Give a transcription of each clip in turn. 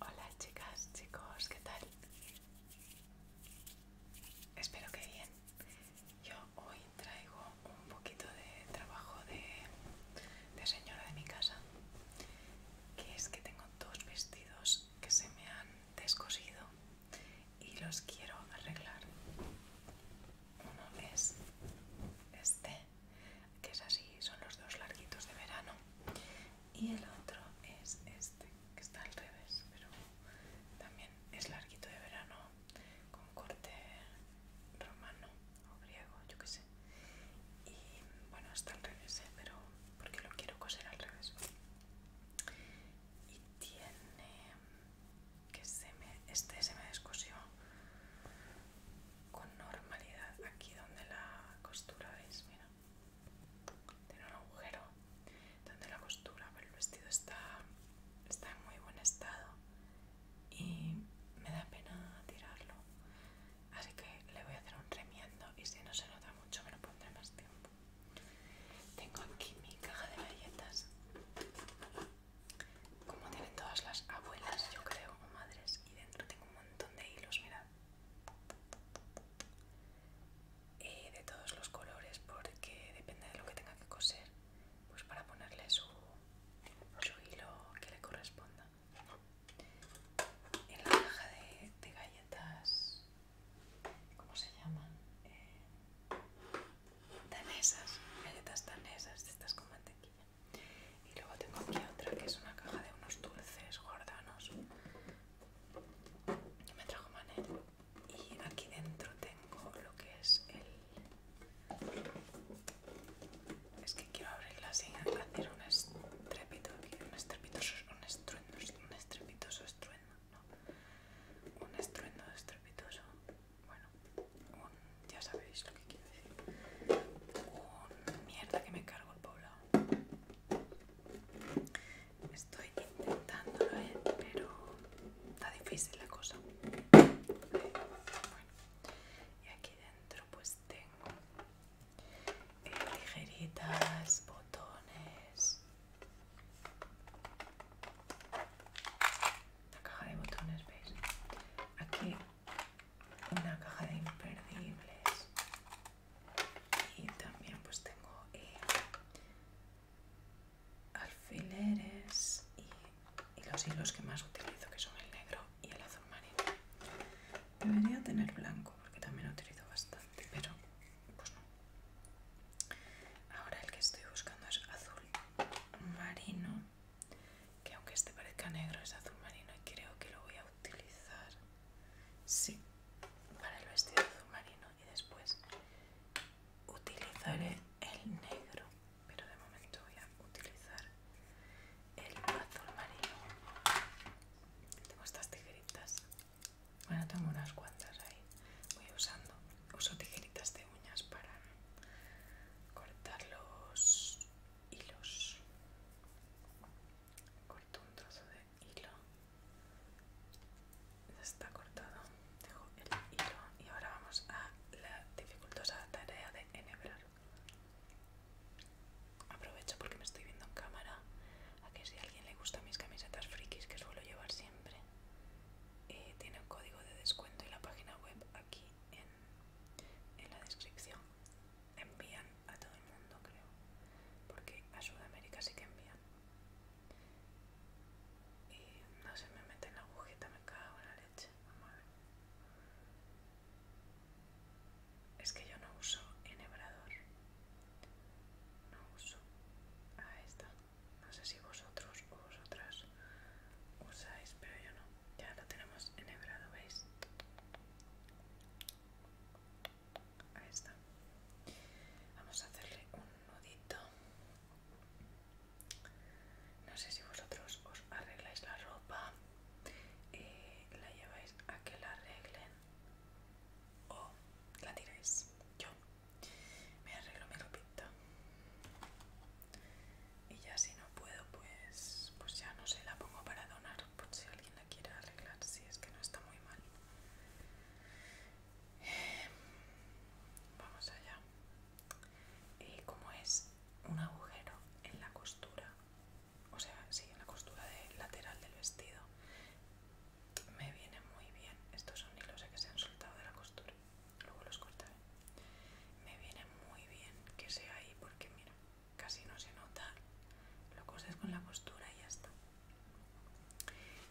Hola chicas, chicos, ¿qué tal? Espero que bien. Yo hoy traigo un poquito de trabajo de, señora de mi casa, que es que tengo dos vestidos que se me han descosido y los quiero arreglar. Uno es este que es así, son los dos larguitos de verano. Y el otro es este, que está al revés, pero también es larguito de verano, con corte romano o griego, yo qué sé. Y bueno, está al revés, ¿eh? pero porque lo quiero coser al revés. Y tiene que se me, este se me descosió con normalidad aquí donde la costura es, mira, tiene un agujero donde la costura, pero el vestido está, está en muy buen estado y me da pena tirarlo, así que le voy a hacer un remiendo y si no se nota mucho me lo pondré más tiempo. Tengo aquí mi caja de galletas como tienen todas las abuelas, yo creo, o madres, y dentro tengo un montón de hilos, mirad. Eh, de todos los colores, porque depende de lo que tenga que coser, pues para ponerle su, hilo que le corresponda. En la caja de, galletas, ¿cómo se llaman? Eh, danesas, galletas danesas, estas con mantequilla. Y luego tengo aquí otra que es una caja de unos dulces gordanos me trajo Manel. Y aquí dentro tengo lo que es el. Es que quiero abrirla sin hacer un estrépito un estrepitoso, un estruendo, un estrepitoso estruendo, no. Un estruendo estrepitoso bueno, ya sabéis lo que quiero decir, un mierda que me cargo el poblado. Estoy intentándolo, ¿eh? pero está difícil la cosa. Eh, y aquí dentro pues tengo eh, ligeritas, botones, la caja de botones, ¿veis? Aquí una caja de imperdibles y también pues tengo eh, alfileres y, y los hilos que más utilizo que son el negro y el azul marino debería tener blanco porque también lo utilizo bastante pero pues no ahora el que estoy buscando es azul marino que aunque este parezca negro es azul marino y creo que lo voy a utilizar sí para el vestido azul marino y después utilizaré el negro pero de momento voy a utilizar el azul marino tengo estas tijeritas bueno tengo unas cuantas ahí voy usando uso tijeritas de uñas para cortar los hilos corto un trozo de hilo ya está cortado dejo el hilo y ahora vamos a la dificultosa tarea de enhebrar aprovecho porque me estoy viendo en cámara a que si a alguien le gustan mis camisetas frikis que suelo llevar siempre eh, tiene un código de descuento y la página web aquí en, la descripción. Envían a todo el mundo, creo, porque a Sudamérica sí que envían. Y no se me mete en la agujeta, me cago en la leche, ver Es que yo no uso enhebrador. No uso. a esta no sé si vosotros o vosotras usáis, pero yo no. Ya lo tenemos enhebrado, ¿veis? Ahí está. Vamos a hacerle un nudito. No sé si vosotros os arregláis la ropa eh, la lleváis a que la arreglen o la tiráis. Yo me arreglo mi ropita y ya si no puedo pues pues ya no sé la pongo para donar por si alguien la quiere arreglar si es que no está muy mal vamos allá y eh, como es un agujero en la costura o sea sí en la costura de, lateral del vestido me viene muy bien estos son hilos que se han soltado de la costura luego los cortaré. Me viene muy bien que sea ahí porque mira, casi no se nota, lo coses con la postura y ya está.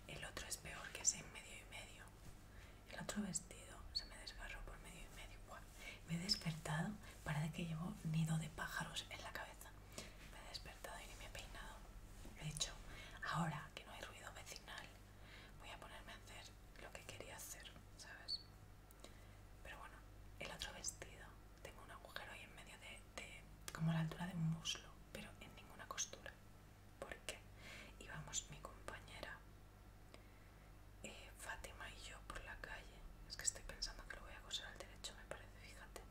El otro es peor que es en medio y medio. El otro vestido se me desgarró por medio y medio. me he despertado, para de que llevo nido de pájaros en la cabeza. Me he despertado y ni me he peinado. He hecho ahora que no hay ruido vecinal, voy a ponerme a hacer lo que quería hacer, ¿sabes? Pero bueno, el otro vestido, tengo un agujero ahí en medio de, como a la altura de un muslo, pero en ninguna costura. ¿Por qué? Íbamos mi compañera, eh, Fátima y yo por la calle. Es que estoy pensando que lo voy a coser al derecho, me parece, fíjate.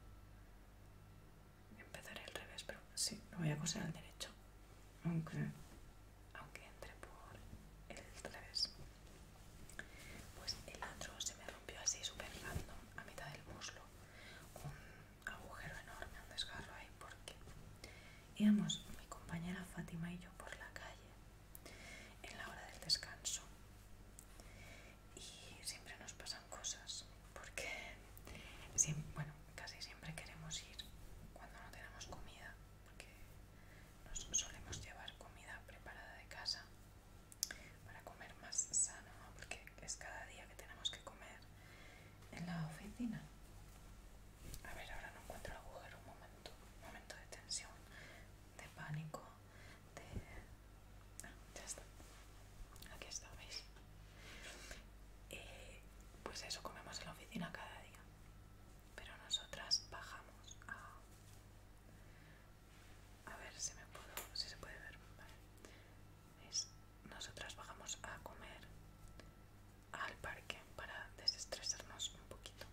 Empezaré al revés, pero sí, lo voy a coser al derecho. Aunque aunque entre por el 3 Pues el otro se me rompió así súper random a mitad del muslo. Un agujero enorme, un desgarro ahí porque íbamos mi compañera Fátima y yo por la calle en la hora del descanso. Y siempre nos pasan cosas porque, bueno, casi siempre queremos ir cuando no tenemos comida, porque nos solemos llevar comida preparada de casa para comer más sano, porque es cada día que tenemos que comer en la oficina. A ver, ahora no encuentro el agujero, un momento, momento de tensión, de pánico, de... Ah, ya está. Aquí está, ¿veis? Eh, pues eso comemos en la oficina cada día. Pero nosotras bajamos a. A ver si me puedo. si se puede ver. nosotras bajamos a comer al parque para desestresarnos un poquito,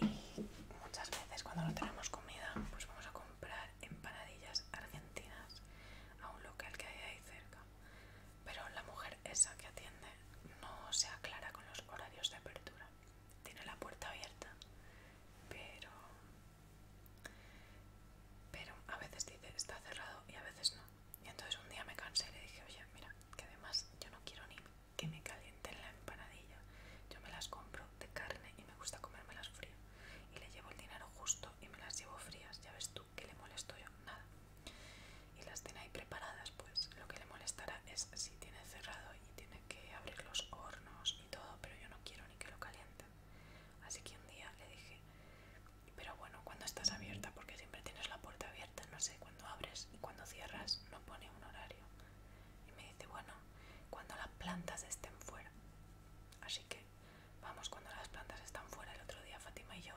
Y muchas veces cuando no tenemos comida, pues vamos a comprar empanadillas argentinas a un local que hay ahí cerca. Pero la mujer esa que atiende no se aclara con los horarios de apertura. Tiene la puerta abierta, pero... Pero a veces dice está cerrado y a veces no. Y entonces un día me cansé y le dije, oye, mira, que además yo no quiero ni que me calienten la empanadilla. Yo me las compro de carne y me gusta comérmelas frías. Y le llevo el dinero justo y me las llevo frías, ya ves tú que le molesto yo, nada. Y las tiene ahí preparadas, pues lo que le molestará es si tiene cerrado y tiene que abrir los hornos y todo, pero yo no quiero ni que lo caliente Así que un día le dije, pero bueno, cuando estás abierta, porque siempre tienes la puerta abierta, no sé, cuando abres y cuando cierras no pone un horario. Y me dice, bueno, cuando las plantas estén fuera. Así que Vamos, cuando las plantas están fuera, el otro día Fátima y yo,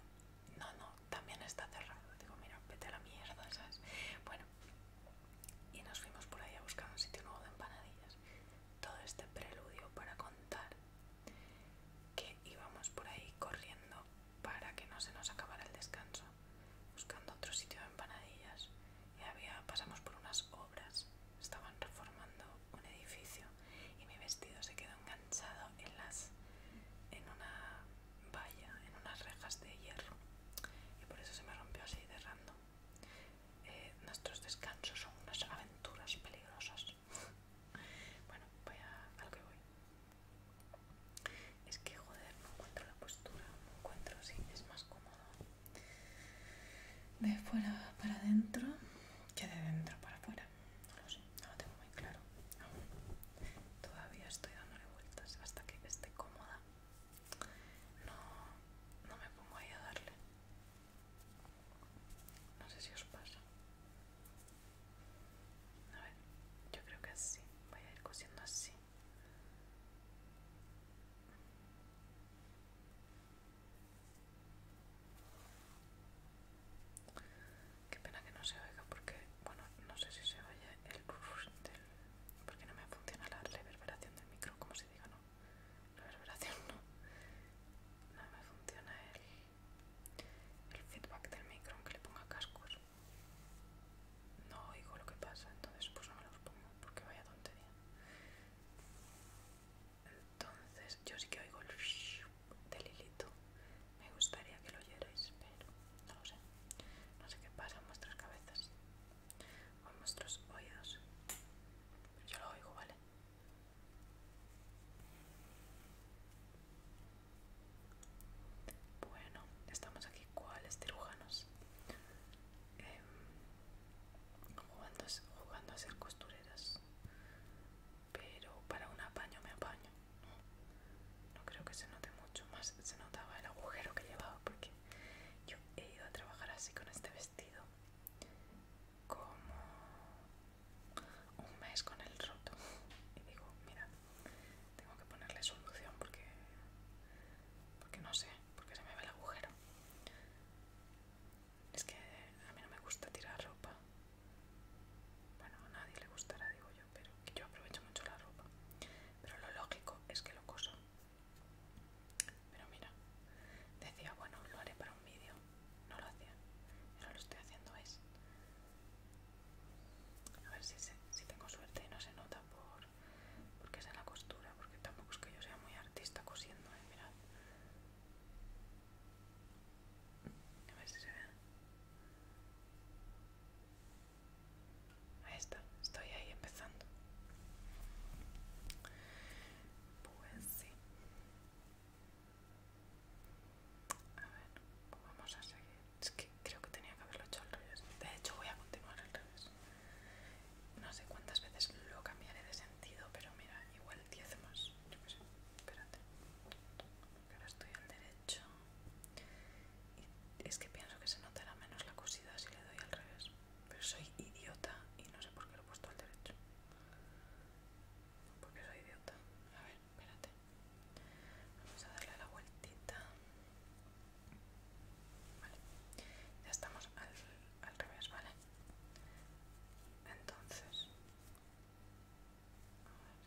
no, no, también está cerrado. Digo, mira, vete a la mierda, ¿sabes? Bueno, y nos fuimos por ahí a buscar un sitio nuevo de empanadillas. Todo este preludio para contar que íbamos por ahí corriendo para que no se nos acabara el descanso, buscando otro sitio de empanadillas. Y había, pasamos por unas obras, estaban reformando un edificio y mi vestido se quedó enganchado en las en una valla, en unas rejas de hierro y por eso se me rompió así de eh, nuestros descansos son unas aventuras peligrosas. bueno, voy a, lo que voy. Es que joder, no encuentro la postura, no encuentro si es más cómodo de fuera para adentro que de dentro para afuera no lo sé, no lo tengo muy claro Todavía estoy dándole vueltas hasta que esté cómoda. No, no me pongo ahí a darle. No sé si os pasa. A ver, yo creo que así. Voy a ir cosiendo así. Qué pena que no se oiga porque, bueno, no sé si se oye el porque no me funciona la reverberación del micro, como se diga, ¿no? Reverberación no. No me funciona el, el feedback del micro aunque le ponga cascos. No oigo lo que pasa, entonces pues no me los pongo porque vaya tontería. Entonces, yo sí que oigo el del Me gustaría que lo oyerais, pero no lo sé. No sé qué pasa en vuestras cabezas o en vuestros oídos. Pero yo lo oigo, ¿vale? Bueno, estamos aquí. ¿Cuáles cirujanos? Em, jugando, jugando a ser costureras pero para un apaño me apaño no, creo que se note mucho más se notaba el agujero que llevaba porque yo he ido a trabajar así con este vestido como un mes con el roto y digo mira tengo que ponerle solución porque porque no sé porque se me ve el agujero es que a mí no me gusta tirar ropa. Bueno, a nadie le gustará, digo yo, pero yo aprovecho mucho la ropa. Pero lo lógico es que lo coso. Pero mira, decía, bueno, lo haré para un vídeo. No lo hacía, pero lo estoy haciendo es. A ver si, tengo suerte y no se nota por porque es en la costura, porque tampoco es que yo sea muy artista cosiendo, ¿eh? mirad. A ver si se ve. Ahí está, estoy ahí empezando. Pues sí. A ver, pues vamos a seguir. Es que creo que tenía que haberlo hecho al revés. De hecho, voy a continuar al revés. No sé cuántas veces lo cambiaré de sentido, pero mira, igual 10 más. Yo qué sé, espérate. Ahora estoy al derecho. Y es que pienso que se notará menos la cosida si le doy al revés. Pero soy idiota y no sé por qué lo he puesto al derecho. Porque soy idiota. A ver, espérate. Vamos a darle la vueltita. Vale. Ya estamos al, al revés, ¿vale? entonces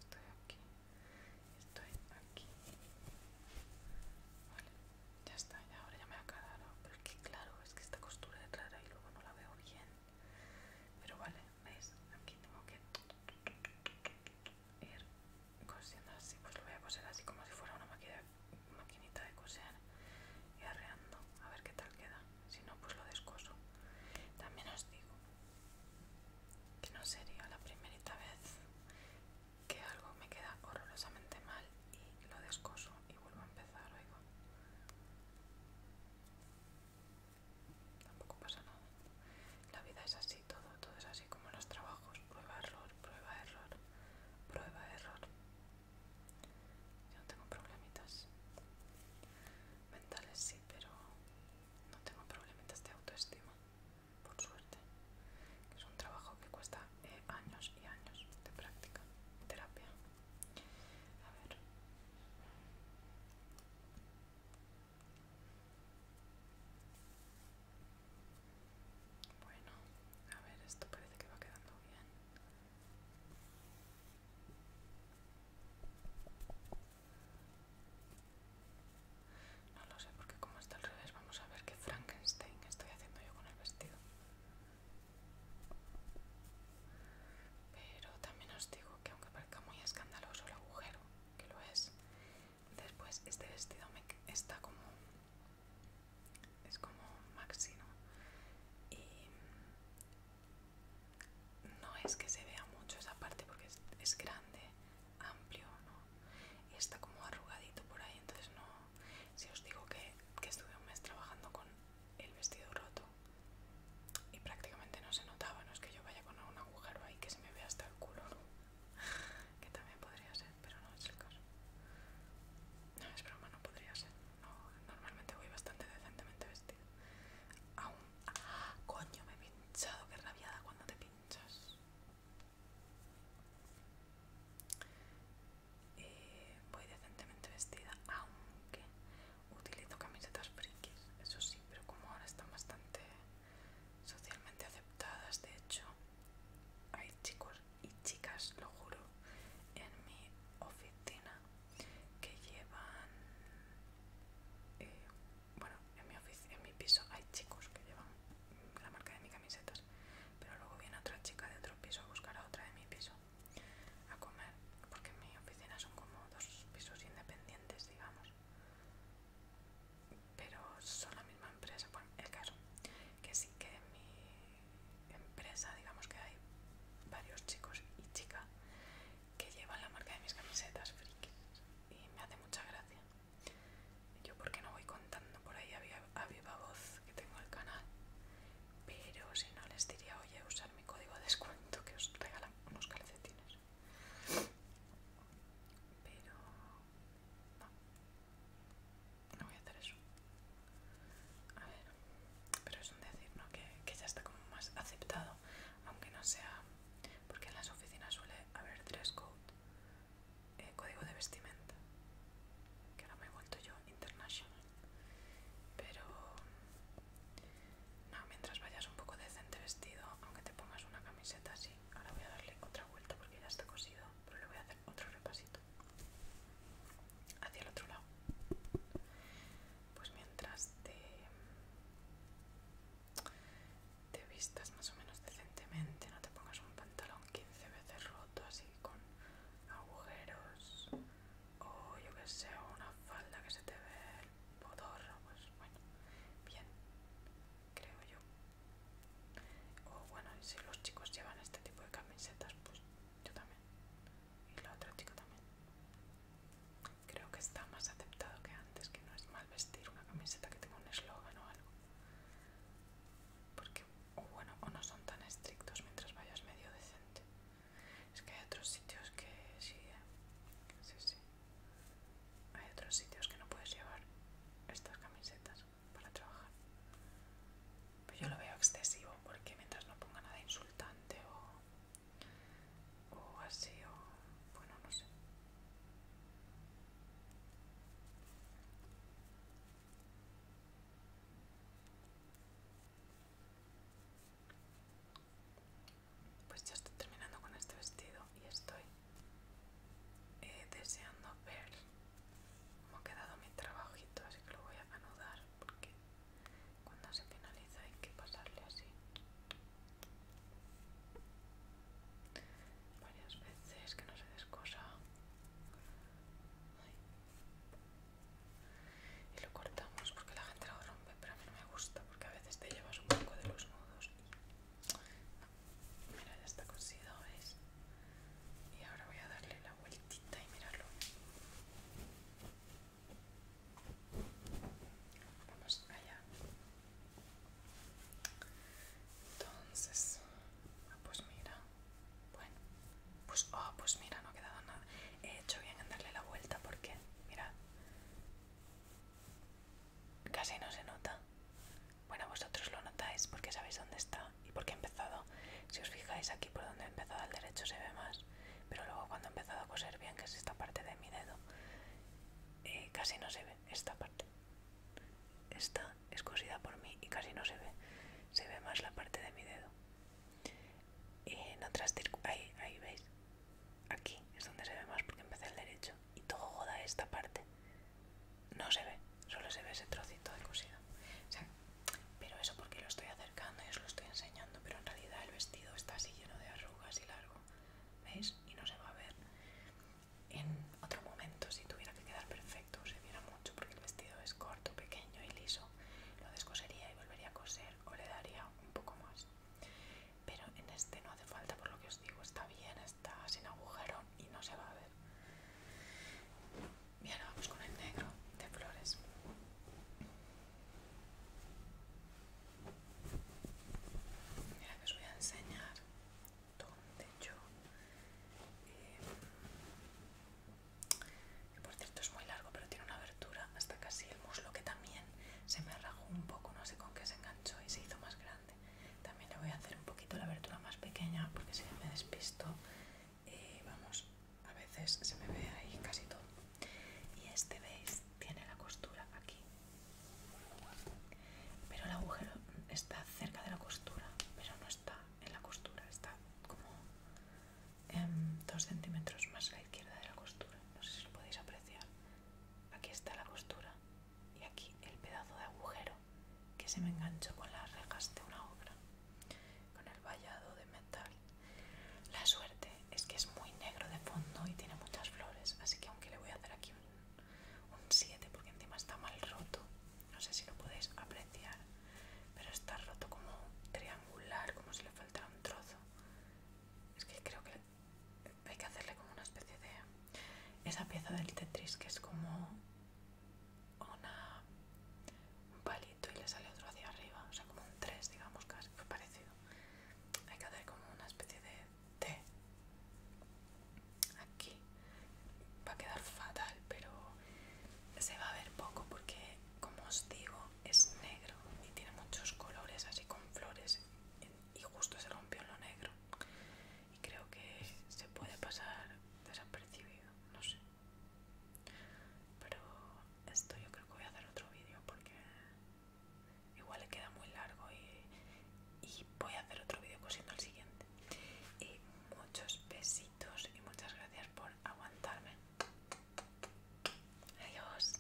estoy aquí estoy aquí vale ya está ya ahora ya me ha quedado pero es que claro es que esta costura es rara y luego no la veo bien pero vale veis aquí tengo que ir cosiendo así pues lo voy a coser así como si fuera una máquina maquinita de coser y arreando a ver qué tal queda si no pues lo descoso también os digo que no sería la primerita vez que algo me queda horrorosamente mal y lo descoso y vuelvo a empezar oigo tampoco pasa nada la vida es así todo todo es así como los trabajos prueba error prueba error prueba error yo no tengo problemitas mentales, sí, pero no tengo problemitas de autoestima, por suerte. Es un trabajo que cuesta eh, años y años de práctica, terapia. A ver. Bueno, a ver, esto parece que va quedando bien. No lo sé porque como está al revés vamos a ver qué Frankenstein estoy haciendo yo con el vestido. Pero también os digo que aunque parezca muy escandaloso el agujero, que lo es, después este vestido me está como es como máximo y no es que se vea mucho esa parte porque es, grande amplio ¿no? y está como arrugadito por ahí entonces no si os digo que, que estuve un mes trabajando con el vestido roto y prácticamente no se notaba no es que yo vaya con un agujero ahí que se me vea hasta el culo que también podría ser pero no es el caso. No, es broma, no podría ser. normalmente voy bastante decentemente vestida. Aún. Ah, ¡Coño! Me he pinchado, qué rabiada cuando te pinchas. Eh, voy decentemente vestida, aunque utilizo camisetas frikis, eso sí, pero como ahora están bastante socialmente aceptadas, de hecho, hay chicos y chicas, lo juro, en mi oficina que llevan... Eh, bueno, en mi, en mi piso hay chicos que llevan la marca de mis camisetas, pero luego viene otra chica de otro piso a buscar a otra de mi piso a comer, porque en mi oficina son como dos pisos independientes, digamos, pero son la misma empresa, bueno, el caso, que sí que en mi empresa, digamos que hay varios chicos y chicas que llevan la marca de mis camisetas frikis y me hace mucha gracia. Yo porque no voy contando por ahí a viva, a voz que tengo el canal, pero si no les diría, oye, usar mi código de descuento que os regalan unos calcetines. Pero no, no voy a hacer eso. A ver, pero es un decir, ¿no? Que, ya está como más aceptado, aunque no sea... Porque en las oficinas suele haber dress code, eh, código de vestimenta, que ahora me he vuelto yo international. Pero... No, mientras vayas un poco decente vestido, aunque te pongas una camiseta así, ahora voy a darle otra vuelta porque ya está cosido pero le voy a hacer otro repasito hacia el otro lado pues mientras te vistas más o menos decentemente no te pongas un pantalón 15 veces roto así con agujeros o yo que sé una falda que se te ve el podorro pues bueno bien creo yo o bueno, si los chicos llevan este tipo de camisetas, pues yo también. Y la otra chica también. Creo que está más aceptado que antes, que no es mal vestir una camiseta que tenga un eslogan o algo. Porque, o bueno, o no son tan estrictos mientras vayas medio decente. Es que hay otros sitios que sí, ¿eh? sí. Hay otros sitios que no puedes llevar estas camisetas para trabajar. Pero pues yo lo veo excesivo porque mientras no ponga nada insultante o, o así, o bueno, no sé. Pues ya estoy terminando con este vestido y estoy eh, deseando ver cómo ha quedado mi trabajito, así que lo voy a anudar porque cuando se finaliza hay que pasarle así varias veces que no se descosa y lo cortamos porque la gente lo rompe pero a mí no me gusta porque a veces te llevas un poco de los nudos Mira, ya está cosido, ¿veis? Y ahora voy a darle la vueltita y mirarlo. Vamos allá. Entonces, ah, pues mira. Bueno, pues, oh, pues mira, no ha quedado nada. He hecho bien en darle la vuelta porque, mirad casi no se nota. Bueno, vosotros lo notáis porque sabéis dónde está y qué he empezado. Si os fijáis aquí por donde he empezado al derecho se ve más, pero luego cuando he empezado a coser bien, que es esta parte de mi dedo, eh, casi no se ve esta parte. Esta es cosida por mí y casi no se ve. Se ve más la parte de mi dedo. en otras ahí, ahí veis. Aquí es donde se ve más porque empecé el derecho. Y todo joda esta parte no se ve, solo se ve ese trocito de cosido. pero eso porque lo estoy acercando y os lo estoy enseñando, pero en realidad el vestido está así lleno de arrugas y largo, ¿veis? Y no se va a ver. En otro momento, si tuviera que quedar perfecto, se viera mucho porque el vestido es corto, pequeño y liso, lo descosería y volvería a coser o le daría un poco más. Pero en este no hace falta, por lo que os digo, está bien, está sin agujero, y no se va a ver. Bien, vamos con el negro de flores. Mira que os voy a enseñar dónde yo... Eh, por cierto es muy largo, pero tiene una abertura hasta casi el muslo que también se me rajó un poco, no sé con qué se enganchó y se hizo más grande. También le voy a hacer un poquito la abertura más pequeña porque si me despisto, y eh, vamos, a veces se me ve ahí casi todo. Y este, veis, tiene la costura aquí. Pero el agujero está cerca de la costura, pero no está en la costura, está como dos centímetros más a la izquierda de la costura. No sé si lo podéis apreciar. Aquí está la costura y aquí el pedazo de agujero que se me enganchó con las rejas de una obra, con el vallado de metal. La suerte es que es muy negro de fondo y tiene muchas flores, así que aunque le voy a hacer aquí un 7 porque encima está mal roto, no sé si lo podéis apreciar, pero está roto como triangular, como si le faltara un trozo. Es que creo que hay que hacerle como una especie de esa pieza del Tetris que es como una, palito y le sale otro hacia arriba, o sea como un tres, digamos casi, pues parecido. Hay que hacer como una especie de T aquí. Va a quedar fatal, pero se va a ver poco porque como os digo es negro y tiene muchos colores así con flores y justo se rompió en lo negro y creo que se puede pasar desapercibido, no sé pero esto yo creo que voy a hacer otro vídeo porque igual le queda muy largo y, y voy a hacer otro vídeo cosiendo el siguiente y muchos besitos y muchas gracias por aguantarme adiós